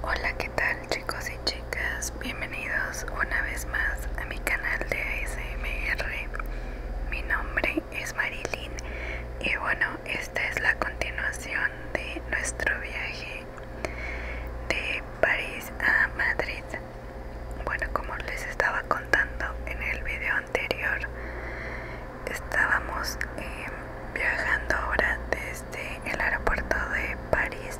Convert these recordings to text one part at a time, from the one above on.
Hola, ¿qué tal chicos y chicas? Bienvenidos una vez más a mi canal de ASMR. Mi nombre es Marilyn y bueno, esta es la continuación de nuestro viaje de París a Madrid. Bueno, como les estaba contando en el video anterior, estábamos eh, viajando ahora desde este, el aeropuerto de París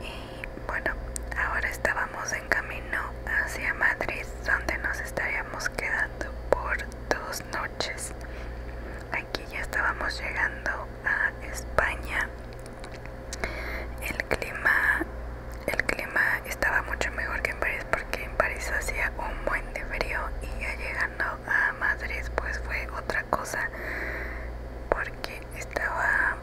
y bueno, ahora estábamos en camino hacia Madrid donde nos estaríamos quedando por dos noches. Aquí ya estábamos llegando a España. El clima, el clima estaba mucho mejor que en París porque en París hacía un buen de frío y ya llegando a Madrid pues fue otra cosa porque estaba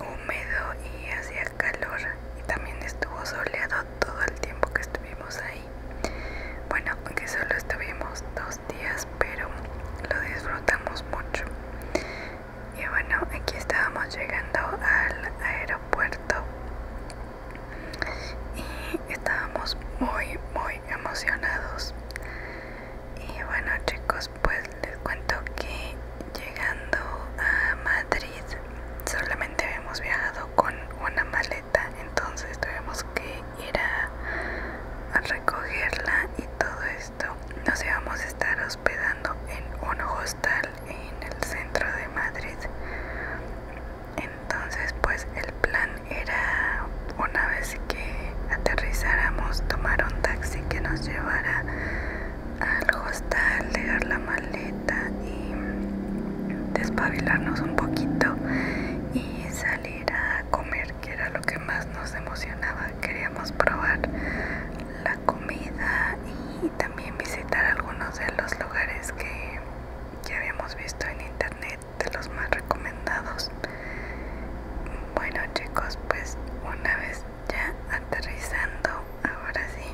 húmedo y hacía calor y también estuvo soleado todo el tiempo que estuvimos ahí bueno aunque solo estuvimos dos días pero lo disfrutamos mucho y bueno aquí estábamos llegando al aeropuerto y estábamos muy muy emocionados y bueno chicos pues les cuento que llegando a Madrid solamente habíamos viajado con una maleta entonces tuvimos que ir a, a recogerla y todo esto nos íbamos a estar hospedando en un hostal en el centro de Madrid entonces pues el plan era una vez que aterrizáramos tomar un taxi que nos llevara al hostal, dejar la maleta y despabilarnos un poquito y salir a comer que era lo que más nos emocionaba. Queríamos probar la comida y también visitar algunos de los lugares que, que habíamos visto en internet de los más recomendados bueno chicos pues una vez ya aterrizando ahora sí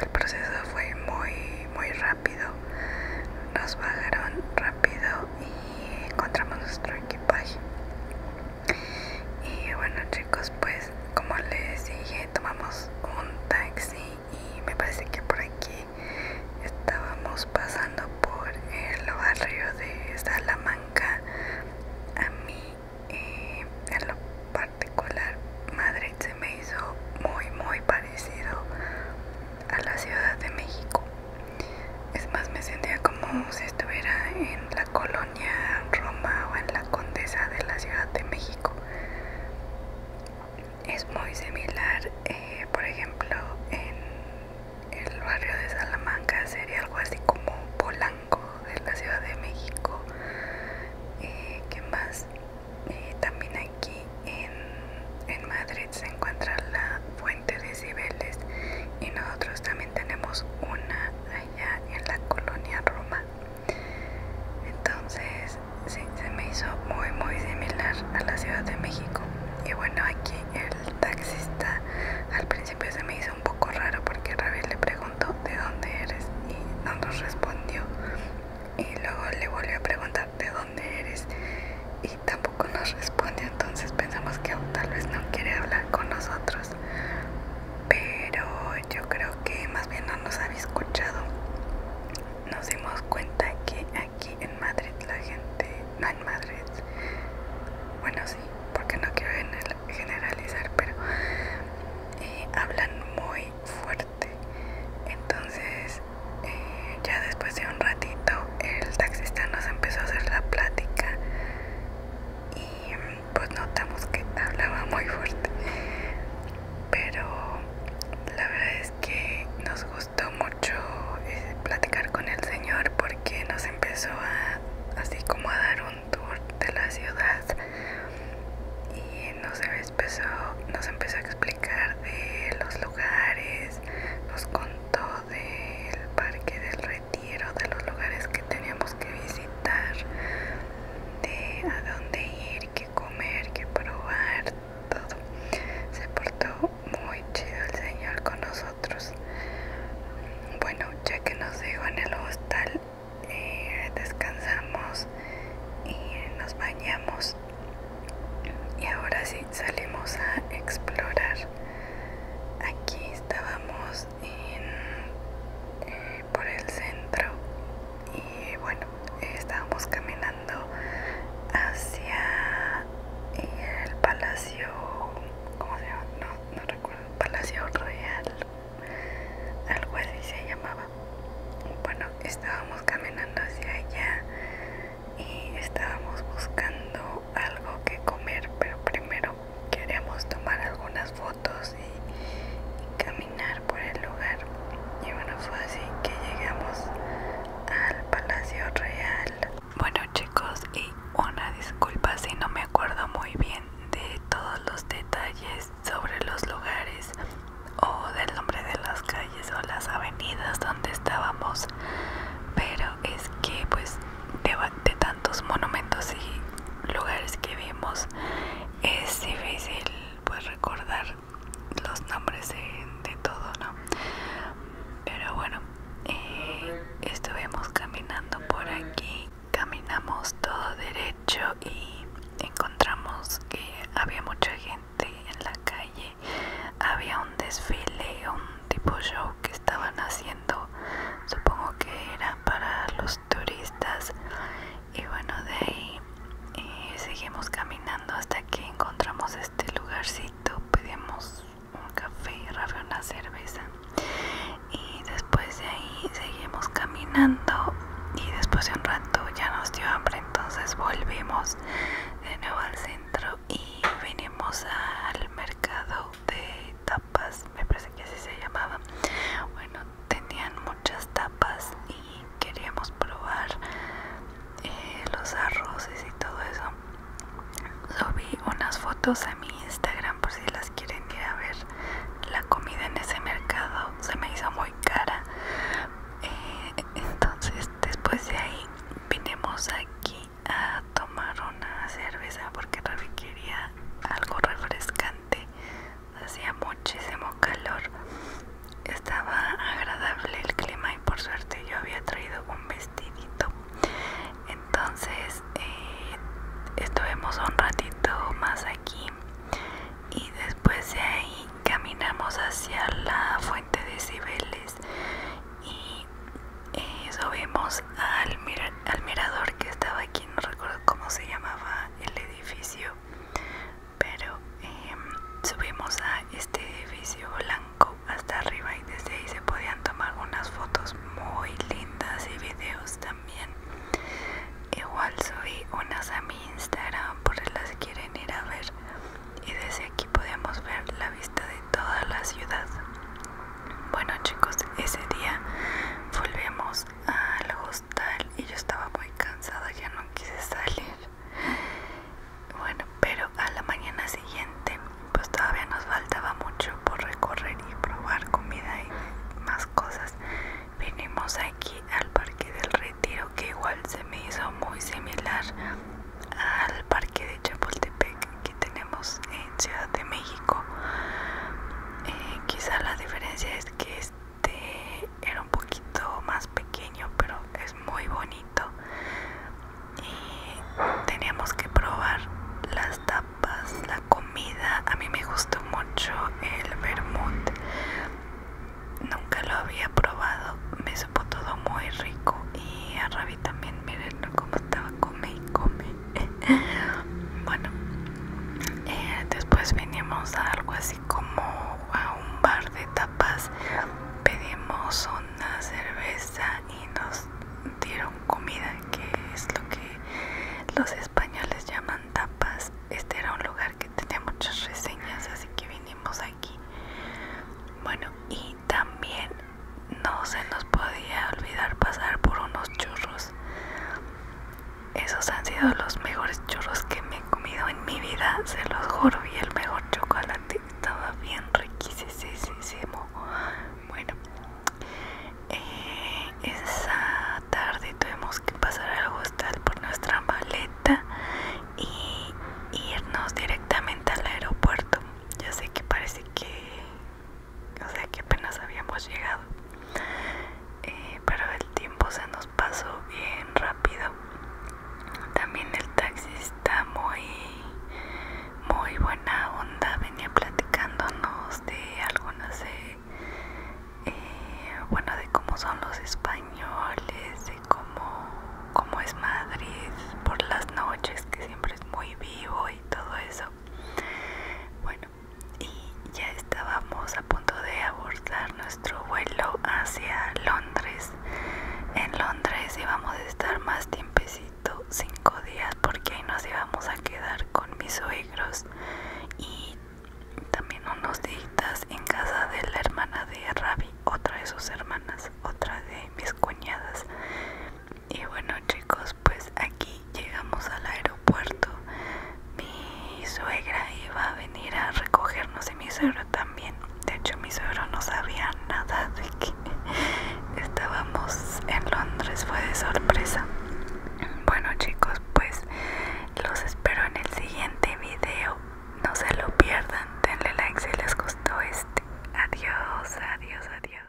el proceso fue muy muy rápido nos bajaron rápido y encontramos nuestro equipaje y bueno chicos pues como les dije tomamos un taxi y me parece que por aquí estábamos pasando por el barrio de Salamanca. A mí, eh, en lo particular, Madrid se me hizo muy, muy parecido a la Ciudad de México. Es más, me sentía como si estuviera en la colonia Roma o en la Condesa de la Ciudad de México es muy similar, eh, por ejemplo, en el barrio de Salamanca sería algo así como Polanco de la Ciudad de México. Eh, ¿Qué más? Eh, también aquí en, en Madrid se encuentra la Fuente de Cibeles y nosotros también tenemos una allá en la colonia Roma. Entonces, sí, se me hizo muy muy similar a la Ciudad de México y bueno aquí el taxista al principio se me hizo un poco raro porque Rabiel le preguntó de dónde eres y no nos respondió y luego le volvió a preguntar de dónde eres y tampoco nos respondió entonces pensamos que tal vez no quiere hablar con nosotros pero yo creo que más bien no nos había escuchado nos dimos cuenta que aquí en Madrid la gente, no en Madrid, bueno sí, porque no quiero generalizar, pero eh, hablan muy fuerte. Entonces, eh, ya después de un ratito, el taxista nos empezó a hacer la plática y pues notamos que hablaba muy fuerte. Pero la verdad es es que nos gustó mucho eh, platicar con el señor porque nos empezó a así como a dar un tour de la ciudad y nos empezó, nos empezó a explicar de los lugares, nos contó del parque del retiro, de los lugares que teníamos que visitar, de a dónde ir, qué comer, qué probar, todo. Se portó muy chido el señor con nosotros. Bueno, ya que nos llegó en el hostal, eh, descansamos y nos bañamos. Y ahora sí salimos a explorar. Aquí estábamos en, eh, por el centro y bueno estábamos caminando hacia el palacio ¿cómo se llama? no, no recuerdo palacio Royal, algo así se llamaba bueno estábamos caminando hacia allá y estábamos buscando algo que comer pero primero queríamos tomar algunas fotos y caminar por el lugar. Y bueno, fue así que llegamos al Palacio Real. Bueno chicos, y una disculpa si no me acuerdo muy bien de todos los detalles sobre los lugares o del nombre de las calles o las avenidas donde estábamos. Pero es que pues de, tantos monumentos y lugares que vimos es difícil pues recordar los nombres de, todo, ¿no? Pero bueno, eh, estuvimos caminando por aquí, caminamos todo derecho y encontramos que había mucha gente en la calle, había un desfile, un tipo show que estaban haciendo, supongo que era para los turistas y bueno de ahí eh, seguimos caminando hasta que encontramos este lugarcito pedimos un café una cerveza y después de ahí seguimos caminando y después de un rato ya nos dio hambre entonces volvimos de nuevo al centro y venimos al mercado de tapas me parece que así se llamaba bueno tenían muchas tapas y queríamos probar eh, los arroces y todo eso subí unas fotos a mi instagram por si las quieren ir ver la comida en ese mercado se me hizo muy cara eh, entonces después de ahí vinimos aquí a tomar una cerveza porque Ravi quería algo refrescante hacía muchísimo calor, estaba agradable el clima y por suerte yo había traído un vestidito. Entonces eh, estuvimos un ratito más aquí y después de ahí caminamos hacia la fuente de Cibeles y eh, subimos al, al mirador que estaba aquí, no recuerdo cómo se llamaba el edificio pero em, subimos a este edificio blanco hasta arriba y desde ahí se podían tomar unas fotos muy lindas y videos también igual subí unas a mi instagram por si las quieren ir a ver y desde aquí podemos ver la vista de toda la ciudad bueno chicos ese día volvemos al hostal y yo estaba muy cansada, ya no quise salir. Bueno, pero a la mañana siguiente, pues todavía nos faltaba mucho por recorrer y probar comida y más cosas. Vinimos aquí al Parque del Retiro, que igual se me hizo muy similar al Parque de Chapultepec que tenemos en Ciudad de México. Eh, quizá la diferencia es que este era un poquito más pequeño pero es muy bonito y teníamos que probar las tapas la comida a mí me gustó mucho el vermut nunca lo había probado me supo todo muy rico y a Ravi también miren cómo estaba come y come bueno eh, después vinimos a algo así como a un bar de tapas pedimos una cerveza y nos dieron comida que es lo que los españoles llaman tapas este era un lugar que tenía muchas reseñas así que vinimos aquí bueno y también no se nos podía olvidar pasar por unos churros esos han sido los mejores churros que me he comido en mi vida, se los juro. Y el mejor chocolate estaba bien riquísimo. Bueno, eh, esa tarde tuvimos que pasar al hostal por nuestra maleta y irnos directamente al aeropuerto. Ya sé que parece que o sea que apenas habíamos llegado eh, pero el tiempo se nos pasó bien rápido también el está muy muy buena onda venía platicándonos de algunas no eh, bueno de cómo son los españoles de cómo, cómo es Madrid por las noches que siempre es muy vivo y todo eso bueno y ya estábamos a punto de abordar nuestro vuelo hacia Londres. En Londres íbamos a estar más tiempecito, cinco días, porque ahí nos íbamos a quedar con mis suegros y también unos días en casa de la hermana de Ravi, otra de sus hermanas, otra de mis cuñadas y bueno chicos pues aquí llegamos al aeropuerto mi suegra iba a venir a recogernos y mi suegro también de hecho mi suegro no sabía nada de que estábamos en Londres fue de sorpresa bueno chicos pues los espero en el siguiente video no se lo pierdan denle like si les gustó este adiós adiós adiós